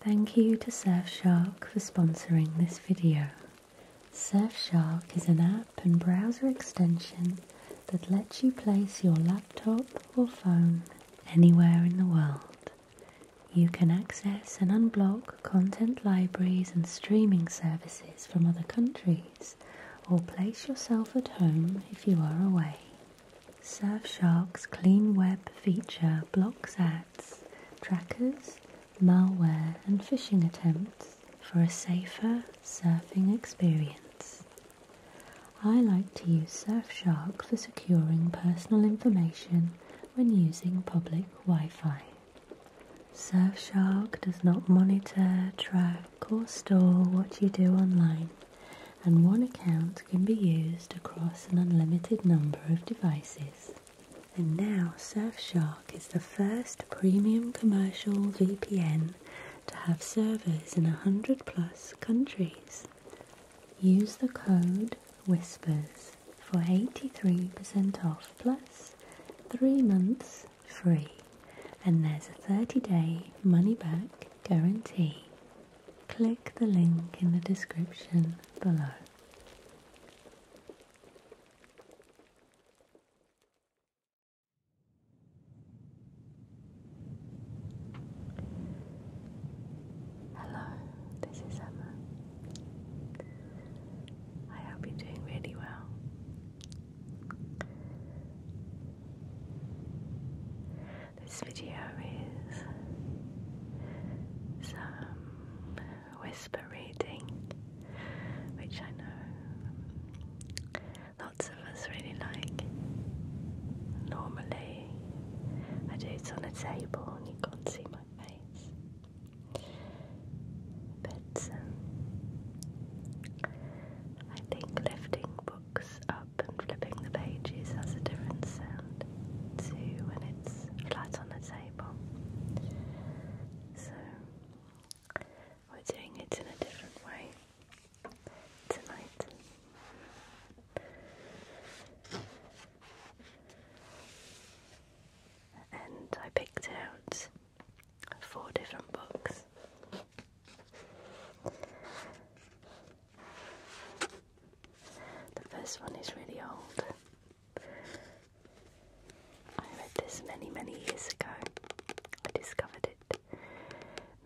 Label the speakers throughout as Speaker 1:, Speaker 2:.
Speaker 1: Thank you to Surfshark for sponsoring this video. Surfshark is an app and browser extension that lets you place your laptop or phone anywhere in the world. You can access and unblock content libraries and streaming services from other countries or place yourself at home if you are away. Surfshark's Clean Web feature blocks ads, trackers, malware, and phishing attempts for a safer surfing experience. I like to use Surfshark for securing personal information when using public Wi Fi. Surfshark does not monitor, track, or store what you do online, and one account can be used across an unlimited number of devices. And now Surfshark is the first premium commercial VPN to have servers in 100 plus countries. Use the code WHISPERS for 83% off plus 3 months free and there's a 30 day money back guarantee click the link in the description below.
Speaker 2: Hello, this is Emma. I hope you're doing really well. This video is some whisper reading, which I know lots of us really like. Normally, I do it on a table and you can't see my face. But um, I think lifting books up and flipping the pages has a different sound to when it's flat on the table. So we're doing it in a different way tonight. And I picked out four different books. The first one is really old. I read this many, many years ago. I discovered it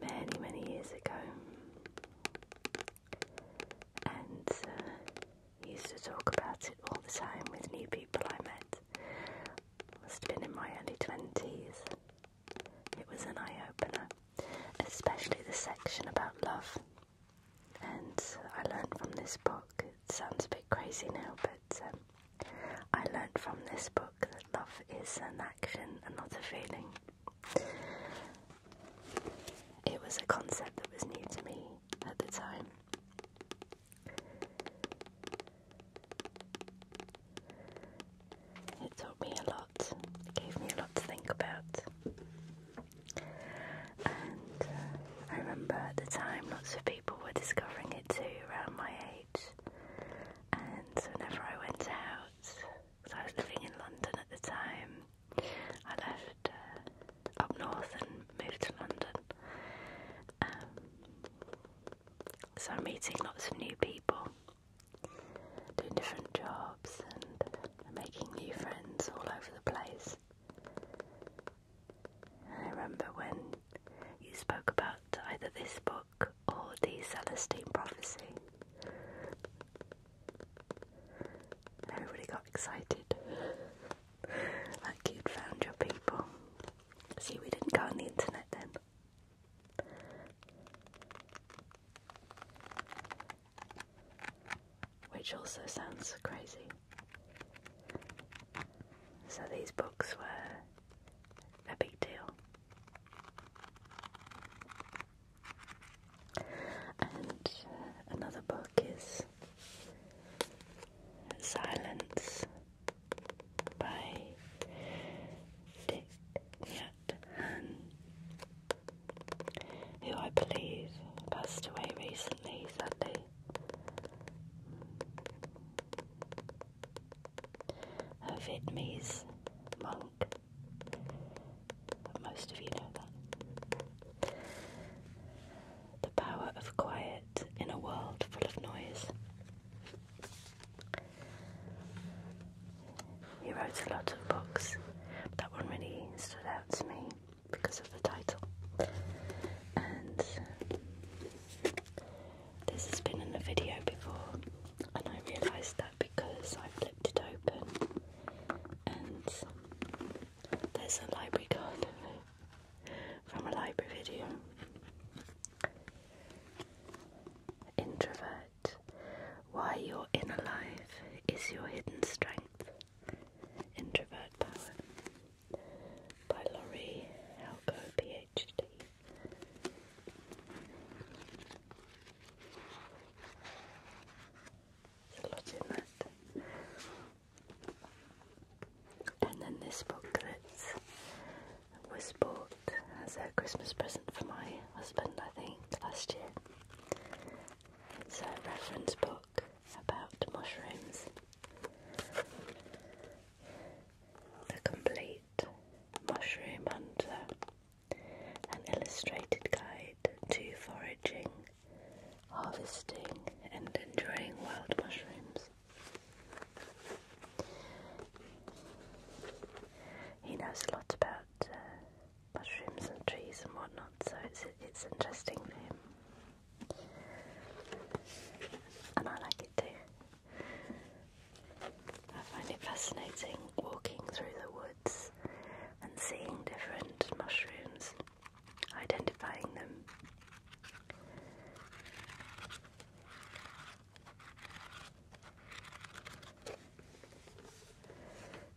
Speaker 2: many, many years ago. And uh, used to talk about it all the time with new people I met. Must have been in my early 20s. It was an eye opener, especially the section about love and I learned from this book. It sounds a bit crazy now, but um, I learned from this book that love is an action and not a feeling. It was a concept that was new to me at the time. It taught me a lot lot. It gave me a lot to think about. And uh, I remember at the time lots of people were discovering it too around my age. And so whenever I went out, because I was living in London at the time, I left uh, up north and moved to London. Um, so I'm meeting lots of new people, doing different jobs and making new friends all over the place. I remember when you spoke about either this book or the Celestine Prophecy. Everybody got excited, like you'd found your people. See, we didn't go on the internet then which also sounds crazy. So these books were a big deal. And uh, another book is Silence by Dick. Yeah, who I believe passed away recently, sadly. A Vietnamese monk. Most of you know that. The power of quiet in a world full of noise. He wrote a lot of books. That one really stood out to me because of the title. And this has been in the video before, and I realised that because I flipped it open and there's a library card from a library video. Introvert why you're in alive is your hidden strength. Introvert Power by Laurie Helgo, PhD. There's a lot in that. And then this book that was bought as a Christmas present for my husband, I think, last year. It's a reference book about mushrooms. The Complete Mushroom Hunter, an illustrated guide to foraging, harvesting, and enjoying wild mushrooms. He knows a lot about uh, mushrooms and trees and whatnot, so it's it's interesting for and I like it too. I find it fascinating walking through the woods and seeing different mushrooms, identifying them.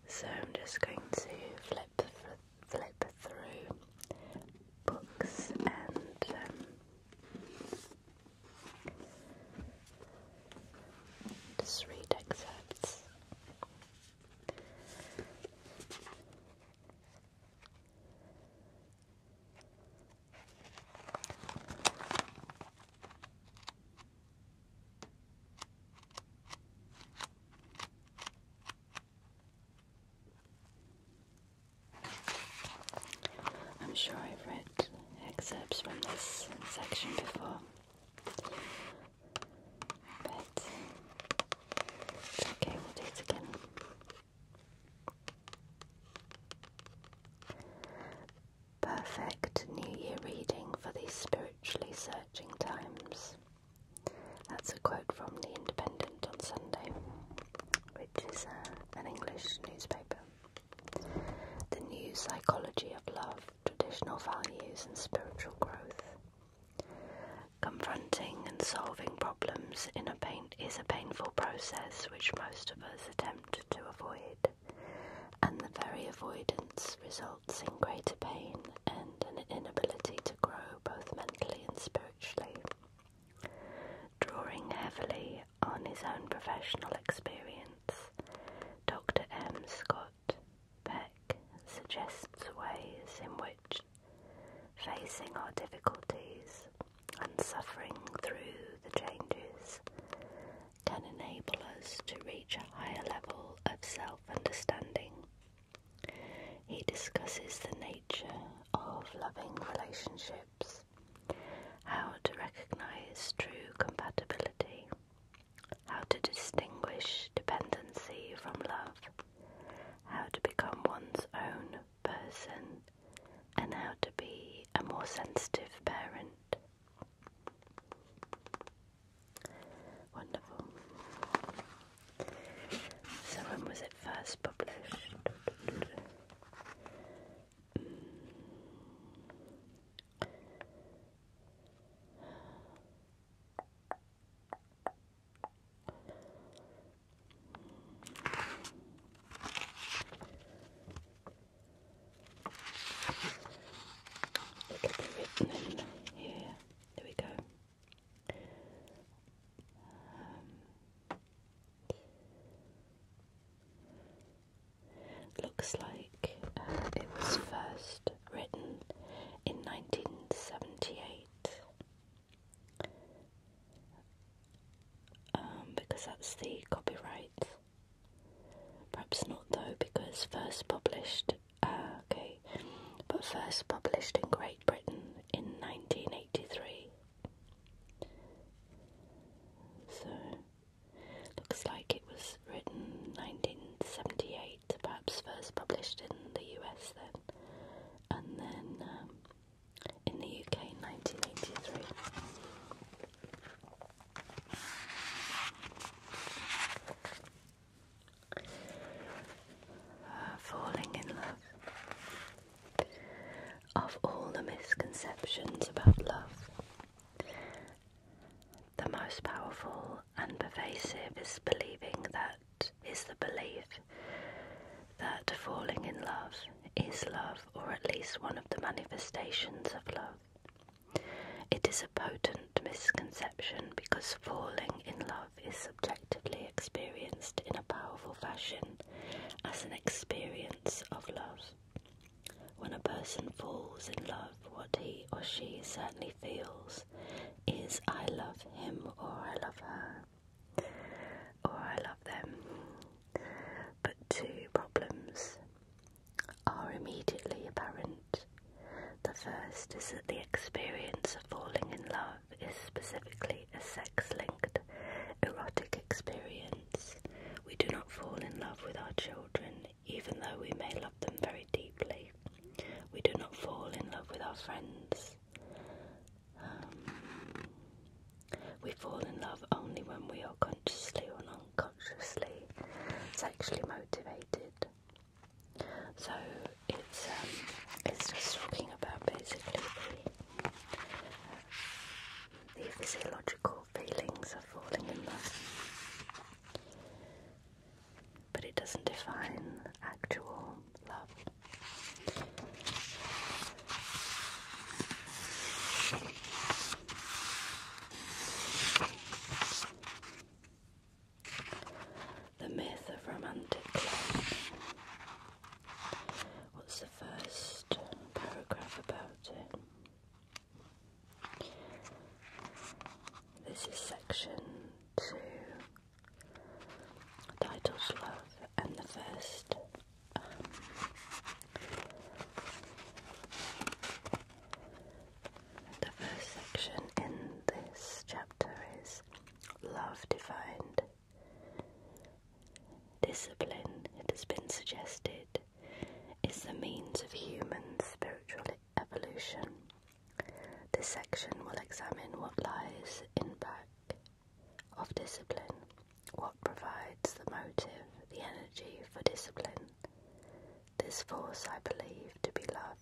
Speaker 2: So I'm just going to flip flip through books and um, just read excerpts. I'm sure I've read excerpts from this section before, but okay, we'll do it again. Perfect New Year reading for the spiritually so times. That's a quote from The Independent on Sunday, which is uh, an English newspaper. The new psychology of love, traditional values, and spiritual growth. Confronting and solving problems in a pain is a painful process which most of us attempt to avoid and the very avoidance results in greater pain and an inability to grow both mentally and spiritually. Drawing heavily on his own professional experience, Dr. M. Scott Beck suggests ways in which facing our difficulties and suffering through the changes can enable us to reach a higher level of self understanding. He discusses the nature of loving relationships, how to recognize true compatibility, how to distinguish dependency from love, how to become one's own person, and how to be a more sensitive parent. Wonderful. So, when was it first published? It written here. There we go. Um, looks like uh, it was first written in 1978 um, because that's the copyright Perhaps not though, because first published, uh, okay, but first published in Great Britain in 1983. So, looks like it was written 1978, perhaps first published in the US then, and then um, in the UK in 1983. Uh, falling in love. Of all the misconceptions about love, the most powerful and pervasive is believing that is the belief that falling in love is love, or at least one of the manifestations of love. It is a potent misconception because falling in love is subjectively experienced in a powerful fashion as an experience of love. When a person falls in love, what he or she certainly feels is I love him or I love her or I love them. But two problems are immediately apparent. The first is that the experience of falling in love is specifically a sex linked erotic experience. We do not fall in love with our children, even though we may love them very deeply. We do not fall in love with our friends. Um, we fall in love only when we are consciously or non consciously sexually motivated. So it's um, it's just talking about basically the physiological feelings of falling in love, but it doesn't define actual love. The myth of romantic love. What's the first paragraph about it? This is section two, titled Love, and the first. Um, the first section in this chapter is love defined. Discipline, it has been suggested, is the means of human spiritual evolution. This section will examine what lies in back of discipline, what provides the motive, the energy for discipline, this force I believe to be love.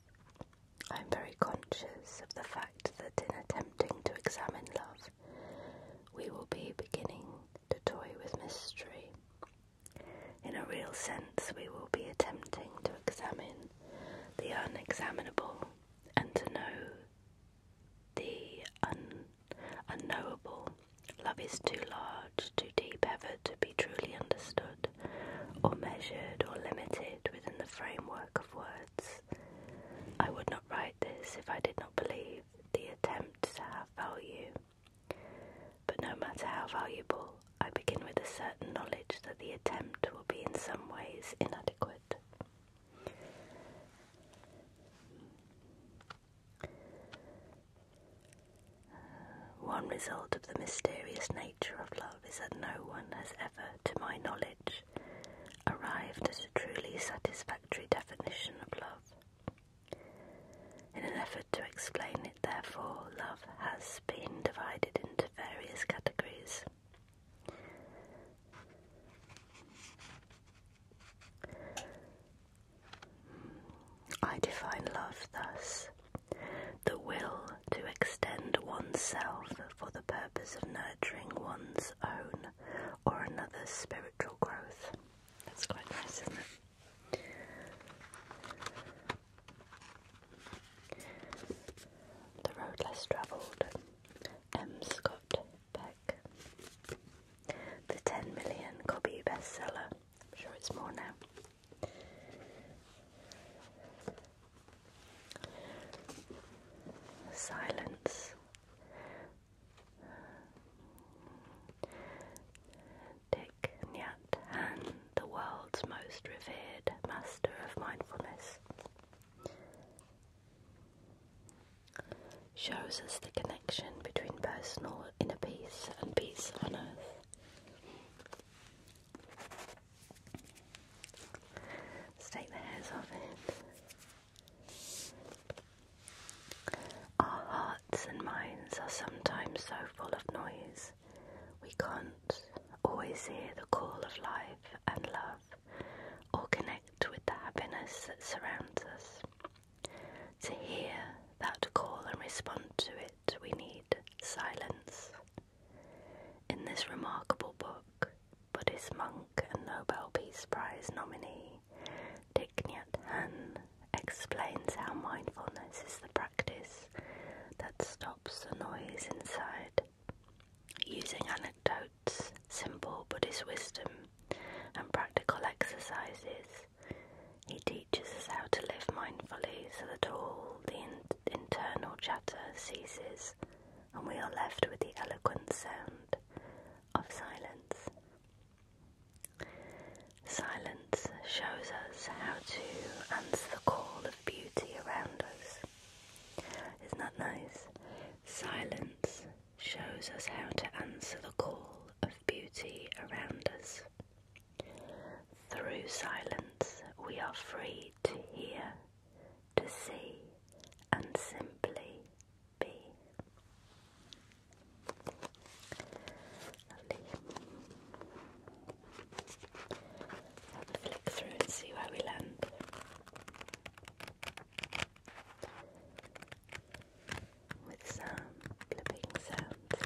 Speaker 2: I am very conscious of the fact that in attempting to examine love, we will be beginning to toy with mystery. In a real sense, we will be attempting to examine the unexaminable and to know the unknowable. Love is too large, too deep ever to be truly understood, or measured or limited within the framework of words. I would not write this if I did not believe the attempt to have value. But no matter how valuable, I begin with a certain knowledge that the attempt will be in some ways inadequate. One result of the mysterious nature of love is that no one has ever, to my knowledge, arrived at a truly satisfactory definition of love. In an effort to explain it, therefore, love has been divided into various categories. I define love thus the will to extend oneself for the purpose of nurturing one's own or another's spiritual growth. That's quite nice, isn't it? The Road Less Travelled, M. Scott Peck. The 10 million copy bestseller. I'm sure it's more now. Silence Dick Nyat Han, the world's most revered master of mindfulness, shows us the connection between personal inner peace and peace on earth take the hairs off it. Our hearts and minds are sometimes so full of noise, we can't always hear the call of life and love, or connect with the happiness that surrounds us. To hear that call and respond to it it, we need silence. In this remarkable book, Buddhist monk and Nobel Peace Prize nominee Thich Nhat Hanh explains how mindfulness is the practice that stops the noise inside. Using anecdotes, simple Buddhist wisdom, and practical exercises, he teaches us how to live mindfully so that all the internal chatter ceases and we are left with the eloquent sound of silence. Silence shows us how to answer the call of beauty around us. Isn't nice? Silence shows us how to answer the call of beauty around us. Through silence, we are free to hear, to see, and simply be. Lovely. Let's flick through and see where we land. With some flipping sounds.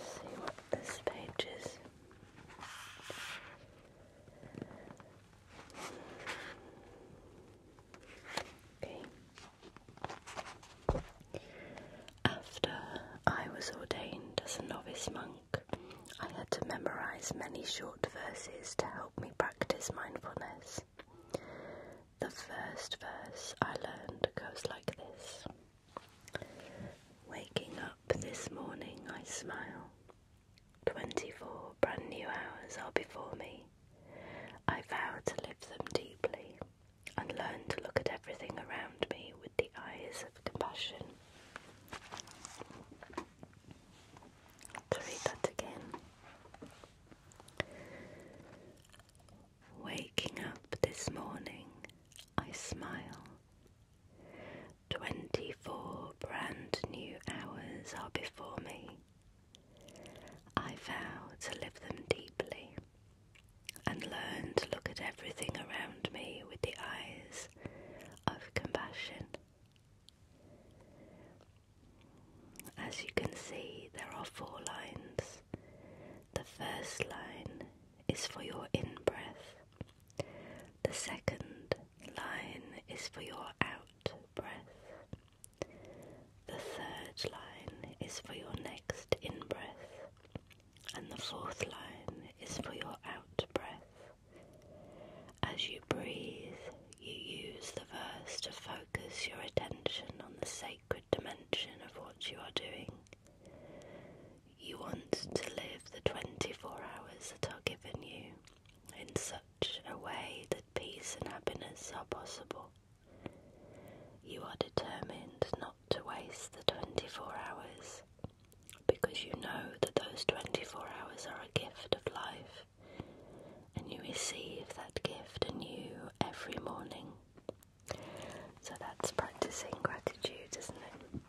Speaker 2: see what this page is. Okay. After I was ordained as a novice monk, I had to memorize many short verses to help me practice mindfulness. The first verse I learned goes like this Waking up this morning, I smile. Twenty four brand new hours are before me. I vow to live them deeply and learn to look at everything around me with the eyes of compassion. To read that again. Waking up this morning, I smile. 24 brand new hours are before me. I vow to live them deeply and learn to look at everything around me with the eyes of compassion. As you can see, there are four lines the first line is for your in breath, the second line is for your out breath, the third line is for your next in breath, and the fourth line is for your out breath. As you breathe, you use the verse to focus your attention on the sacred dimension of what you are doing. You want to live the 24 hours that are given you in such a way that peace and happiness are possible. You are determined not to waste the 24 hours because you know that those 24 hours are a gift of life and you receive that gift anew every morning. So that's practicing gratitude, isn't it?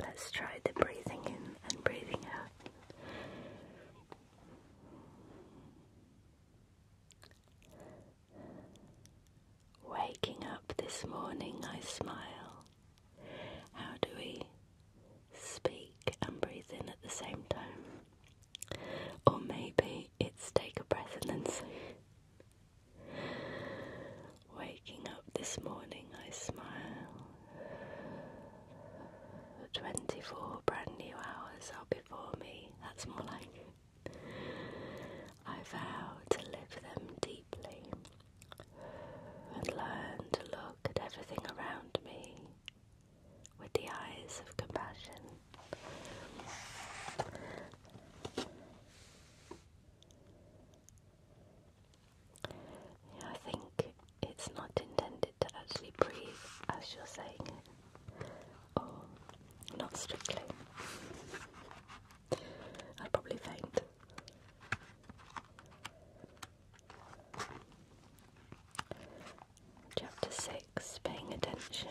Speaker 2: Let's try the breathing in and breathing out. Waking up this morning, I smile. How do we speak and breathe in at the same time? Or maybe it's take a breath and then say, Waking up this morning, I smile. 24 brand new hours are before me. That's more like I vow to live them deeply and learn to look at everything around me with the eyes of compassion. I think it's not intended to actually breathe as you're saying or not strictly. I'd probably faint. Chapter 6 Paying Attention.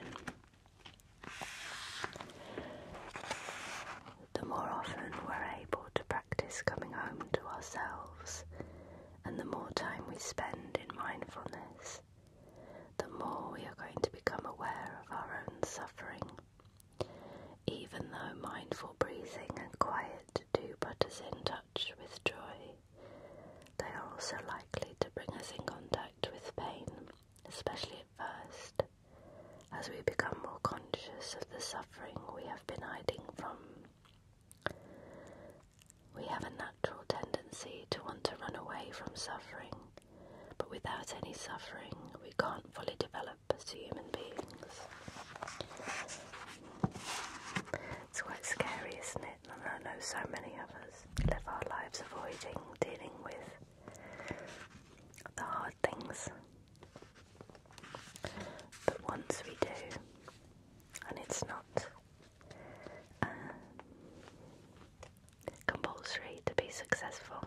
Speaker 2: The more often we're able to practice coming home to ourselves, and the more time we spend in mindfulness, the more we are going to become aware of our own suffering. Even though mindful breathing and quiet do put us in touch with joy, they are also likely to bring us in contact with pain, especially at first as we become more conscious of the suffering we have been hiding from. We have a natural tendency to want to run away from suffering, but without any suffering, we can't fully develop as human beings. It's quite scary, isn't it? I know so many of us live our lives avoiding dealing with the hard things. But once we do, and it's not uh, compulsory to be successful,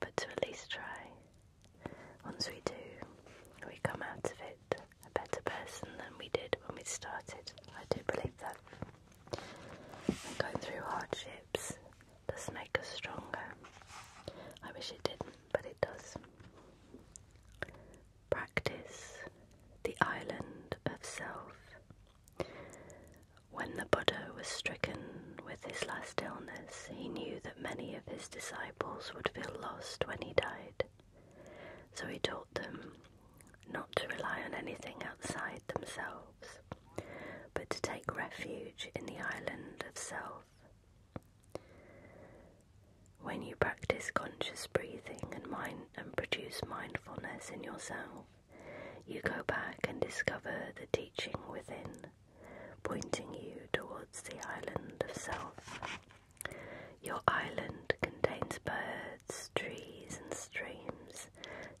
Speaker 2: but to at least try, once we do, we come out of it a better person than we did when we started. I do believe that going through hardships does make us stronger. I wish it didn't, but it does. Practice the island of self. When the Buddha was stricken with his last illness, he knew that many of his disciples would feel lost when he died. So he taught them not to rely on anything outside themselves but to take refuge in the island of self. When you practice conscious breathing and, mind and produce mindfulness in yourself, you go back and discover the teaching within, pointing you towards the island of self. Your island contains birds, trees, and streams,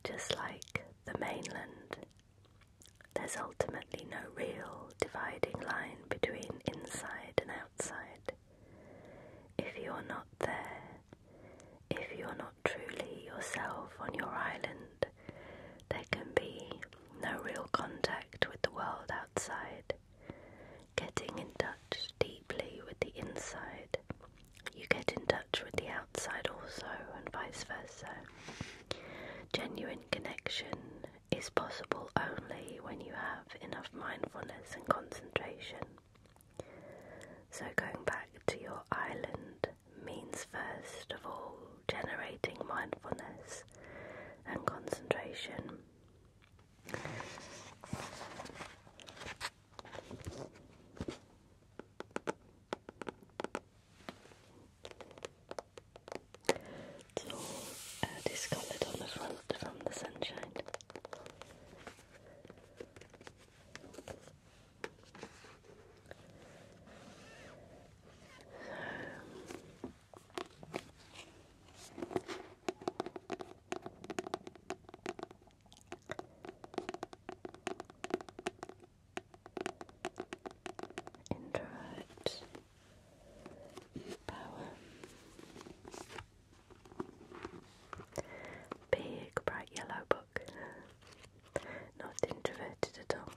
Speaker 2: just like the mainland. There's ultimately no real dividing line between inside and outside. If you're not there, if you're not truly yourself on your island, there can be no real contact with the world outside. Getting in touch deeply with the inside you get in touch with the outside also, and vice versa. Genuine connection is possible only when you have enough mindfulness and concentration. So, going back to your island means first of all generating mindfulness and concentration. It's all uh, discoloured on the front from the sunshine introvert power big bright yellow book not introverted at all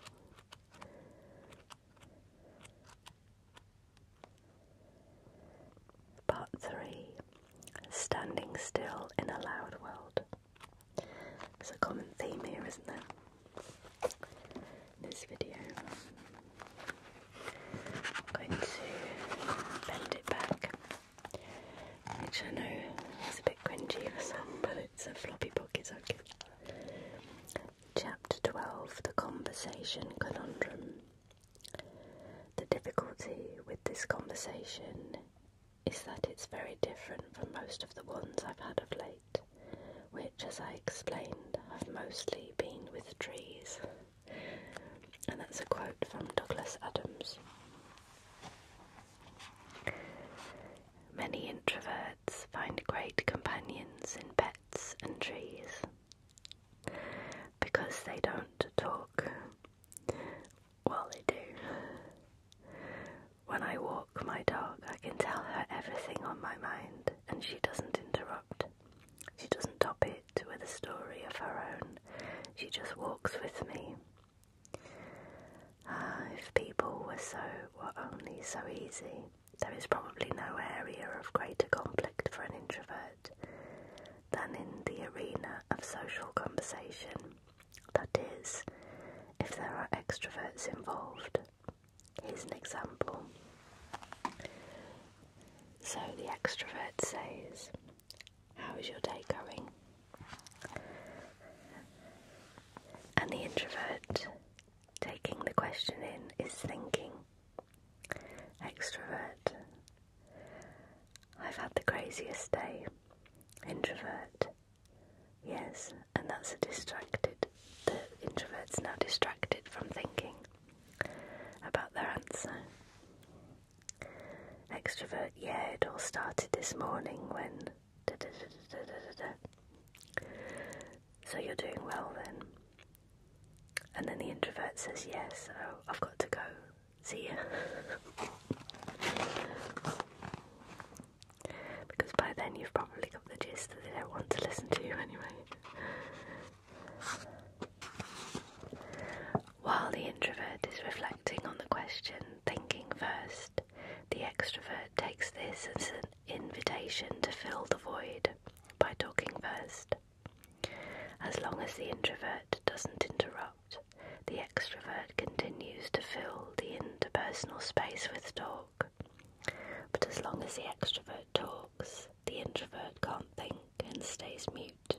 Speaker 2: Part 3 Standing Still in a Loud World it's a common theme here, isn't there? this video. I'm going to bend it back, which I know is a bit cringy for some, but it's a floppy pocket socket. Chapter 12 The Conversation Conundrum. The difficulty with this conversation is that it's very different from most of the ones I've had of late, which, as I explained, have mostly been with trees. And that's a quote from Douglas Adams. Many introverts find great companions in pets and trees because they don't talk well, they do. When I walk my dog, I can tell her everything on my mind, and she doesn't interrupt. She doesn't top it with a story of her own, she just walks with me. Ah, if people were so, were only so easy, there is probably no area of greater conflict for an introvert than in the arena of social conversation. That is, if there are extroverts involved. Here's an example. So the extrovert says, How is your day going? And the introvert, taking the question in, is thinking. Extrovert, I've had the craziest day. Introvert, Yes, and that's a distracted. The introvert's now distracted from thinking about their answer. Extrovert, yeah, it all started this morning when. So you're doing well then. And then the introvert says, yes, oh, I've got to go. See ya. because by then you've probably got the gist that they don't want to listen to you anyway. While the introvert is reflecting on the question, thinking first, the extrovert takes this as an invitation to fill the void by talking first. As long as the introvert doesn't interrupt, the extrovert continues to fill the interpersonal space with talk. But as long as the extrovert talks, the introvert can't think and stays mute.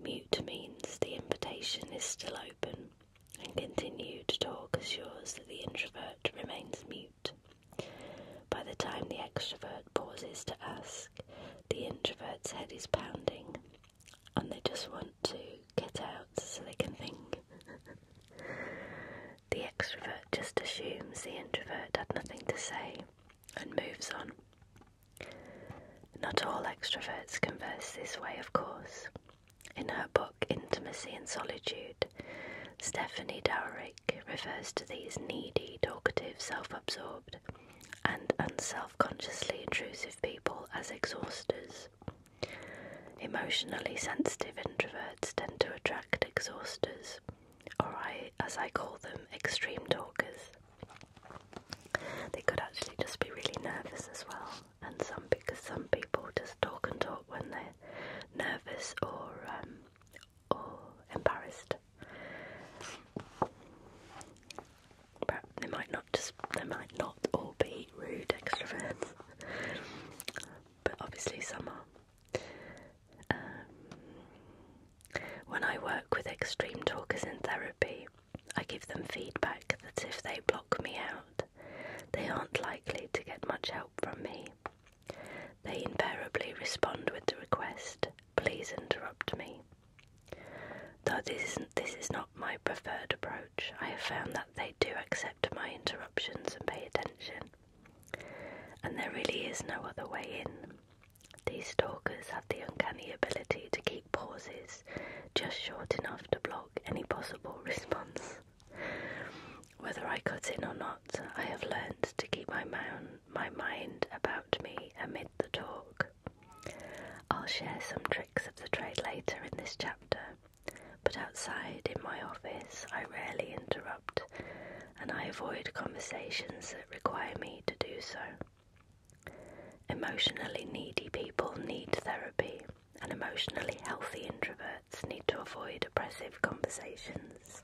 Speaker 2: Mute means the invitation is still open, and continued talk assures that the introvert remains mute. By the time the extrovert pauses to ask, the introvert's head is pounding and they just want to get out so they can think. the extrovert just assumes the introvert had nothing to say and moves on. Not all extroverts converse this way, of course. In her book Intimacy and Solitude, Stephanie Dowrick refers to these needy, talkative, self absorbed, and unself consciously intrusive people as exhausters. Emotionally sensitive introverts tend to attract exhausters, or I, as I call them, extreme talkers. They could actually just be really nervous as well, and some because some people just talk and talk when they're nervous or um, or embarrassed. But they might not just they might not all be rude extroverts, but obviously some are. Um, when I work with extreme talkers in therapy, I give them feedback that if they block me out, they aren't likely to get much help from me. They invariably respond with the request, please interrupt me. Though this isn't my preferred approach, I have found that they do accept my interruptions and pay attention. And there really is no other way in. These talkers have the uncanny ability to keep pauses just short enough to block any possible response. Whether I cut in or not, I have learned to keep my mind about me amid the talk. I'll share some tricks of the trade later in this chapter, but outside in my office I rarely interrupt and I avoid conversations that require me to do so. Emotionally needy people need therapy, and emotionally healthy introverts need to avoid oppressive conversations.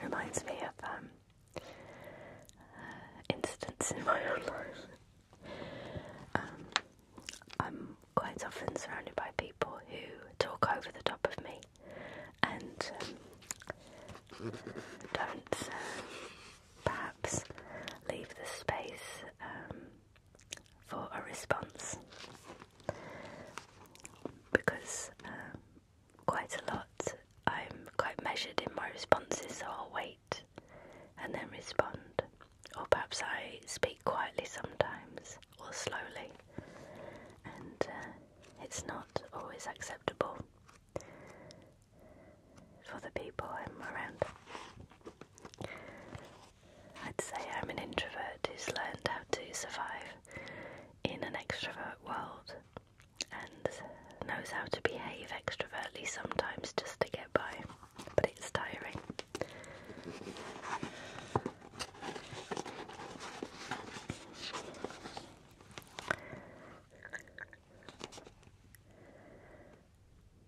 Speaker 2: Reminds me of um, uh, in my own life. Um, I'm quite often surrounded by people who talk over the top of me and um, don't uh, perhaps leave the space um, for a response because quite a lot. I'm quite measured in my responses, so I'll wait and then respond. Or perhaps I speak quietly sometimes or slowly, and uh, it's not always acceptable for the people I'm around. I'd say I'm an introvert who's learned how to survive in an extrovert world and knows how to behave extrovertly sometimes just to get by, but it's tiring.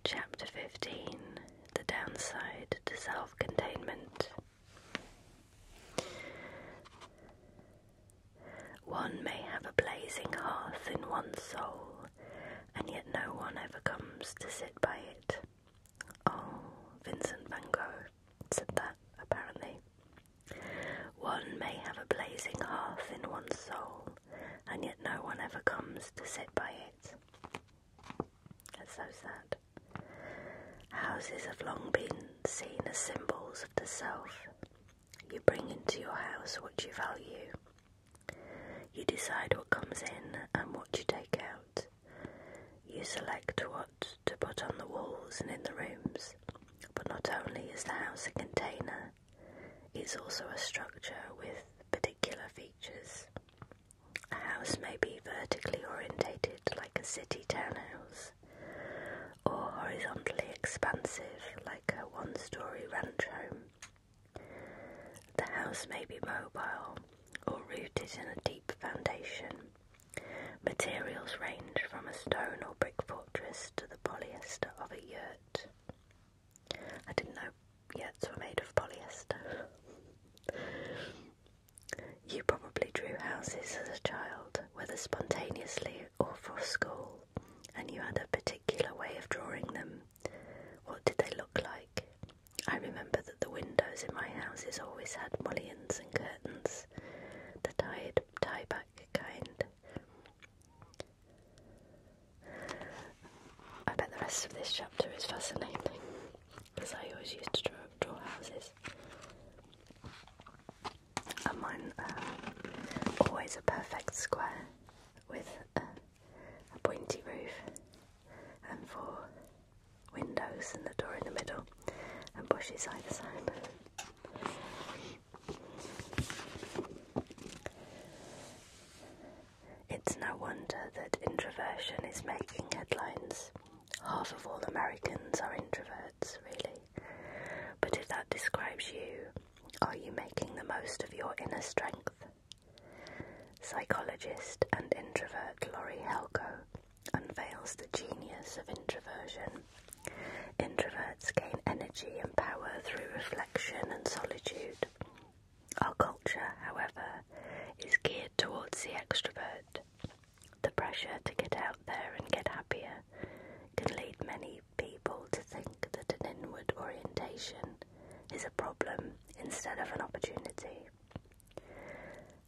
Speaker 2: Chapter 15 The Downside to Self Containment. One may have a blazing hearth in one's soul, and yet no one ever comes to sit by it. Oh, Vincent van Gogh said that, apparently. One may have a blazing hearth in one's soul, and yet no one ever comes to sit by it. That's so sad. Houses have long been seen as symbols of the self, you bring into your house what you value. You decide what comes in and what you take out. You select what to put on the walls and in the rooms. But not only is the house a container, it's also a structure with particular features. A house may be vertically orientated like a city townhouse, or horizontally expansive like a one story ranch home. The house may be mobile or rooted in a deep foundation. Materials range from a stone or brick fortress to the polyester of a yurt. I didn't know yurts were made of polyester. you probably drew houses as a child, whether spontaneously or for school and you had a particular way of drawing them. What did they look like? I remember that the windows in my houses always had mullions and curtains, the tied tie back kind. I bet the rest of this chapter is fascinating because I always used to draw, draw houses. I want uh, always a perfect square with a pointy roof and four windows and the door in the middle and bushes either side. It's no wonder that introversion is making headlines. Half of all Americans are introverts, really. But if that describes you, are you making the most of your inner strength? Psychologist and introvert Laurie Helko unveils the genius of introversion. Introverts gain energy and power through reflection and solitude. Our culture, however, is geared towards the extrovert. The pressure to get out there and get happier can lead many people to think that an inward orientation is a problem instead of an opportunity.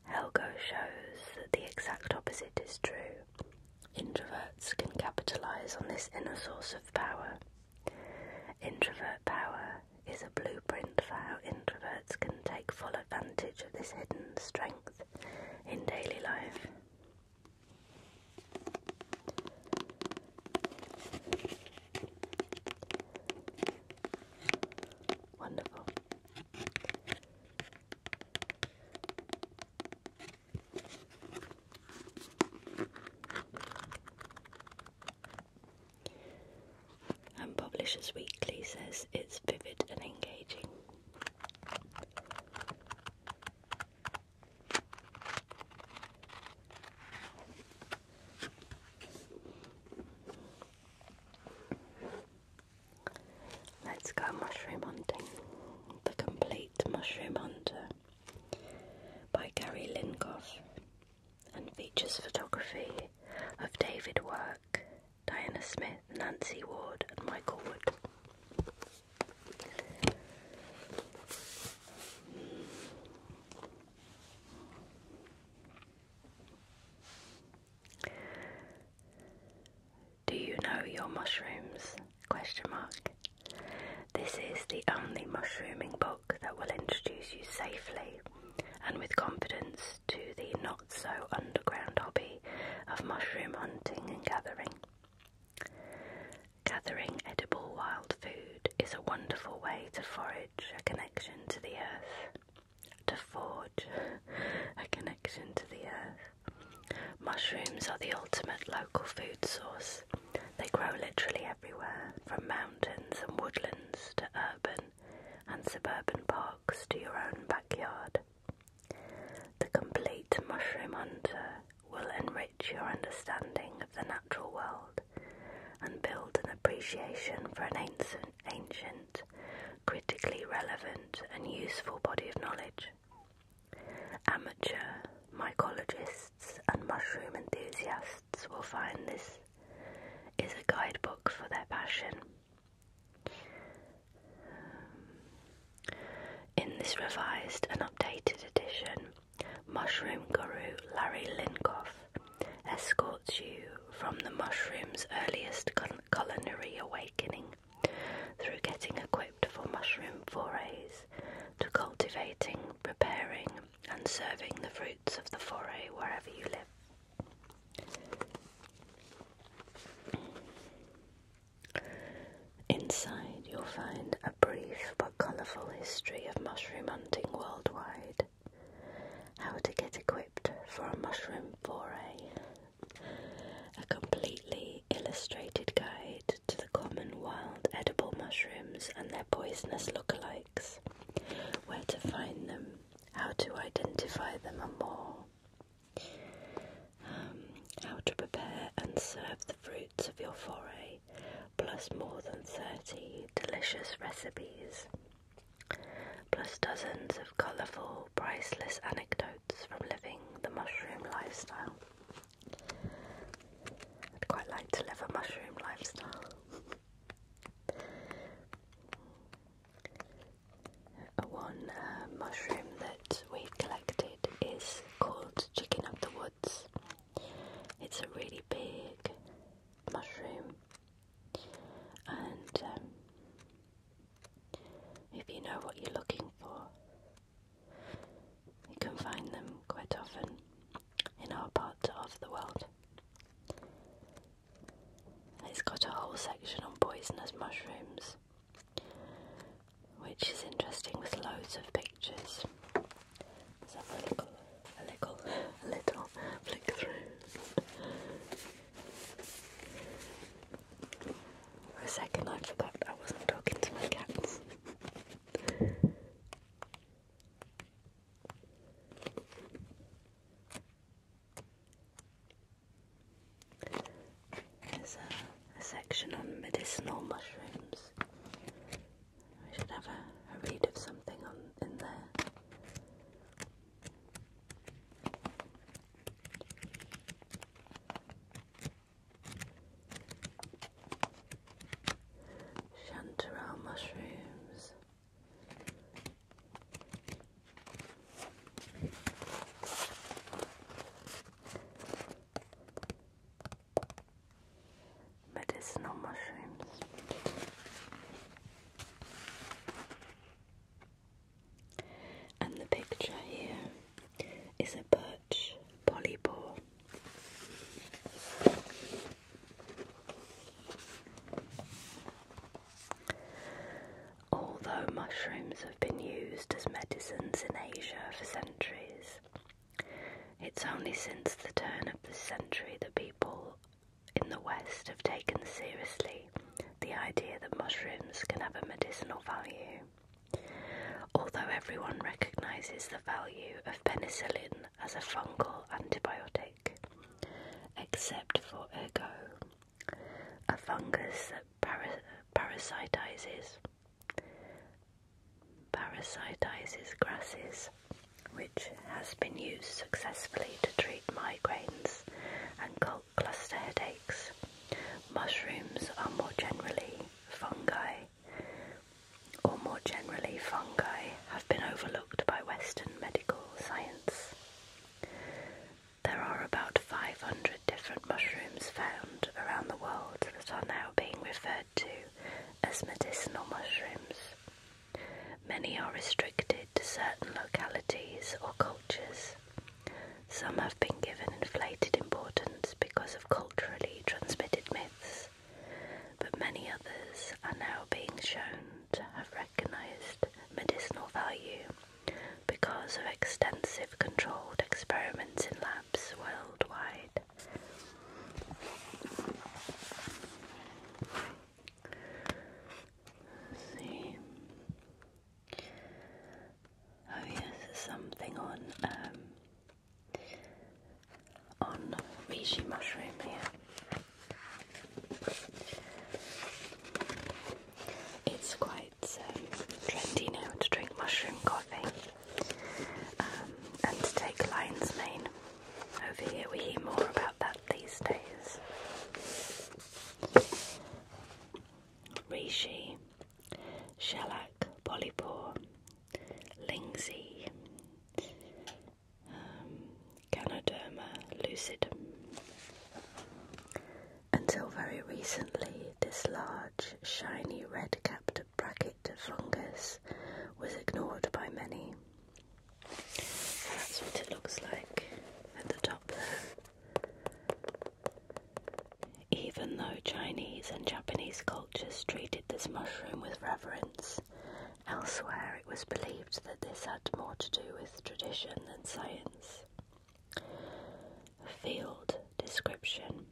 Speaker 2: Helgo shows that the exact opposite is true. Introverts can capitalize on this inner source of power. Introvert power is a blueprint for how introverts can take full advantage of this hidden strength in daily life. Wonderful. And Publishers Weekly says it's vivid and engaging. Let's go mushroom hunting. The Complete Mushroom Hunter by Gary Linkoff and features photography of David Work, Diana Smith, Nancy Ward, and Michael Wood. Do you know your mushrooms? Question mark. This is the only mushrooming book that will introduce you safely and with confidence to the not so underground hobby of mushroom hunting and gathering. Gathering edible wild food is a wonderful way to forage a connection to the earth. To forge a connection to the earth. Mushrooms are the ultimate local food source. They grow literally everywhere, from mountains and woodlands to urban and suburban parks to your own backyard. The complete mushroom hunter will enrich your understanding of the natural world and build an appreciation for an ancient, ancient critically relevant and useful body of knowledge. Amateur mycologists and mushroom enthusiasts will find this is a guidebook for their passion. In this revised and updated edition, mushroom guru Larry Linkoff escorts you from the mushroom's earliest culinary awakening through getting equipped for mushroom forays to cultivating, preparing, and serving the fruits of the foray wherever you live. Inside, you'll find a brief but colourful history of mushroom hunting worldwide, how to get equipped for a mushroom foray, a completely illustrated guide to the common wild edible mushrooms and their poisonous lookalikes, where to find them, how to identify them, and more. Um, how to prepare and serve the fruits of your foray, plus more than 30 delicious recipes, plus dozens of colourful, priceless anecdotes from living the mushroom lifestyle. I'd quite like to live a mushroom lifestyle. a one uh, mushroom that we've collected it is called Chicken of the Woods. It's a really big mushroom, and um, if you know what you're looking for, you can find them quite often in our part of the world. It's got a whole section on poisonous mushrooms which is interesting with loads of pictures. Let's have a little, a little, little flick through. For a second, I forgot I wasn't talking to my cats. There's a, section on medicinal mushrooms. We should have a, a read of something on in there. Chanterelle mushrooms no mushrooms. And the picture here is a birch polypore. Although mushrooms have been used as medicines in Asia for centuries. It's only since the turn of this century that people in the West have taken seriously the idea that mushrooms can have a medicinal value. Although everyone recognises the value of penicillin as a fungal antibiotic, except for ergo, a fungus that parasitizes parasitizes grasses, which has been used successfully to treat migraines and cluster headaches. Mushrooms are more generally fungi, or more generally fungi, have been overlooked by Western medical science. There are about 500 different mushrooms found around the world that are now being referred to as medicinal mushrooms. Many are restricted to certain localities or cultures. Some have been given inflated importance because of culturally transmitted myths, but many others are now being shown to have recognized medicinal value because of extensive controlled experiments in labs worldwide. Oh yes, something on um, on reishi mushroom here. It's quite it's um, trentino to drink mushroom coffee um, and to take lion's mane. Over here we hear more about that these days. Reishi, shellac, polypore, lingsy, um, Ganoderma lucidum. Until very recently, this large large, shiny red-capped bracket fungus was ignored by many. that's what it looks like at the top there. Even though Chinese and Japanese cultures treated this mushroom with reverence, elsewhere it was believed that this had more to do with tradition than science. Field description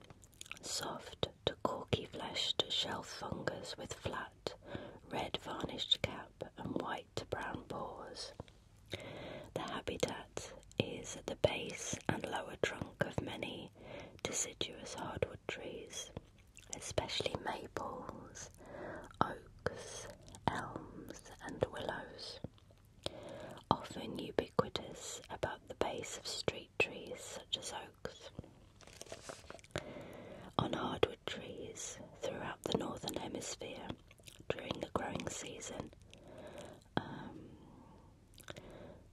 Speaker 2: soft to corky fleshed shelf fungus with flat, red varnished cap and white to brown pores. The habitat is at the base and lower trunk of many deciduous hardwood trees, especially maples, oaks, elms, and willows often ubiquitous about the base of street trees such as oaks. On hardwood trees throughout the northern hemisphere during the growing season, um,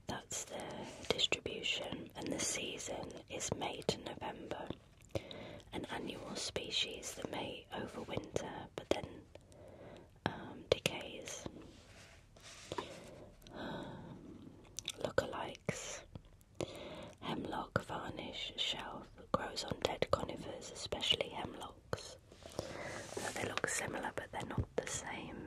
Speaker 2: that's their distribution, and the season is May to November. An annual species that may overwinter but then um, decays, um, lookalikes. Hemlock varnish shelf grows on dead conifers, especially hemlocks. Uh, they look similar, but they're not the same.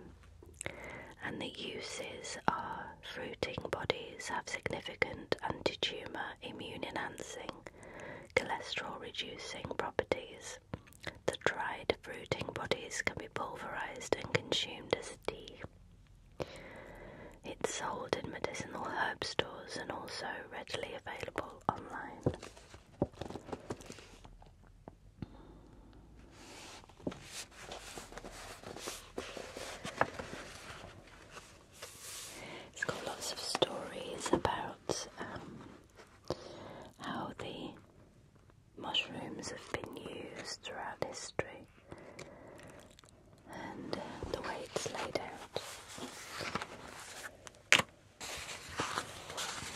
Speaker 2: And the uses are fruiting bodies have significant anti-tumor, immune enhancing, cholesterol reducing properties. The dried fruiting bodies can be pulverized and consumed as tea. It's sold in medicinal herb stores and also readily available online. It's got lots of stories about um, how the Mushrooms have been used throughout history, and uh, the way it's laid out.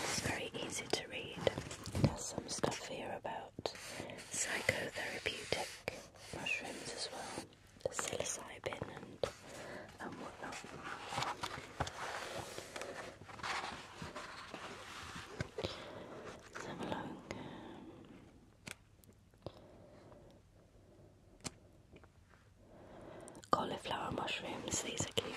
Speaker 2: It's very easy to read. There's some stuff here about psychotherapeutic mushrooms as well, psilocybin and and whatnot. Cauliflower mushrooms, these are cute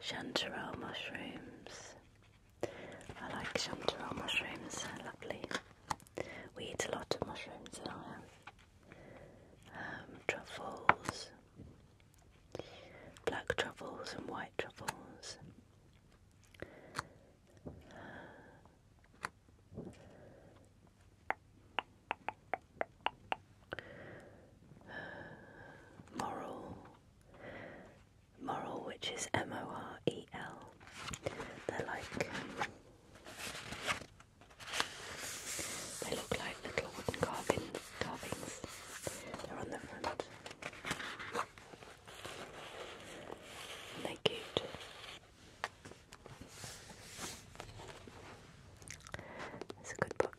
Speaker 2: chanterelle mushrooms. I like chanterelle mushrooms, they're lovely. We eat a lot of mushrooms in um, truffles, black truffles and white truffles. Moral. Moral, which is M O R E L. They're like. they look like little wooden carvings. They're on the front. they're cute. It's a good book.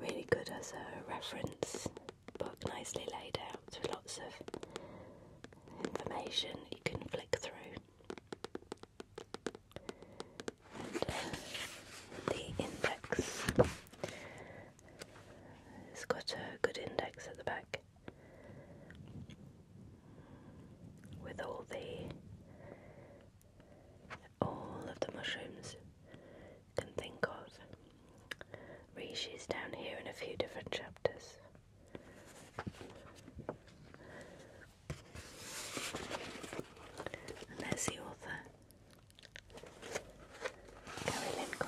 Speaker 2: Really good as a reference book, nicely laid out with lots of information you can flick through. Uh, the index, it's got a good index at the back with all the all of the mushrooms can think of. Rishi's down here in a few different chapters. And there's the author, Gary Lincoln.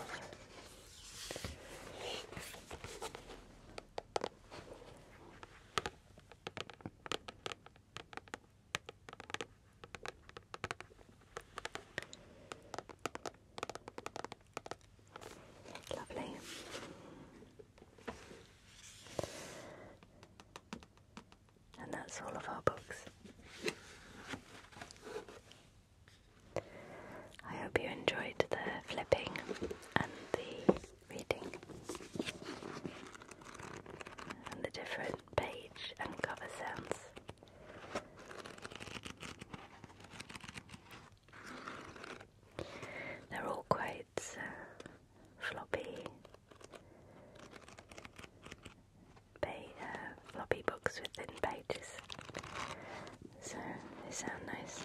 Speaker 2: Lovely. And that's all of our books. I hope you enjoyed the flipping and the reading and the different page and cover sounds. They're all quite uh, floppy, uh, floppy books with thin pages, so they sound nice.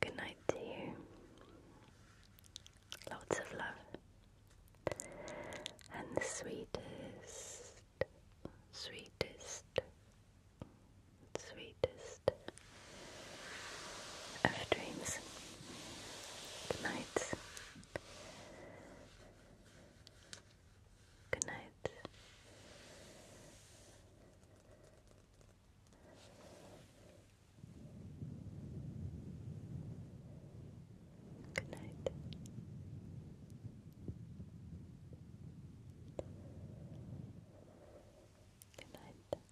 Speaker 2: Good night to you. Lots of love. And the sweetest, sweetest, sweetest of dreams. Good night. Good night. Good night. Good night.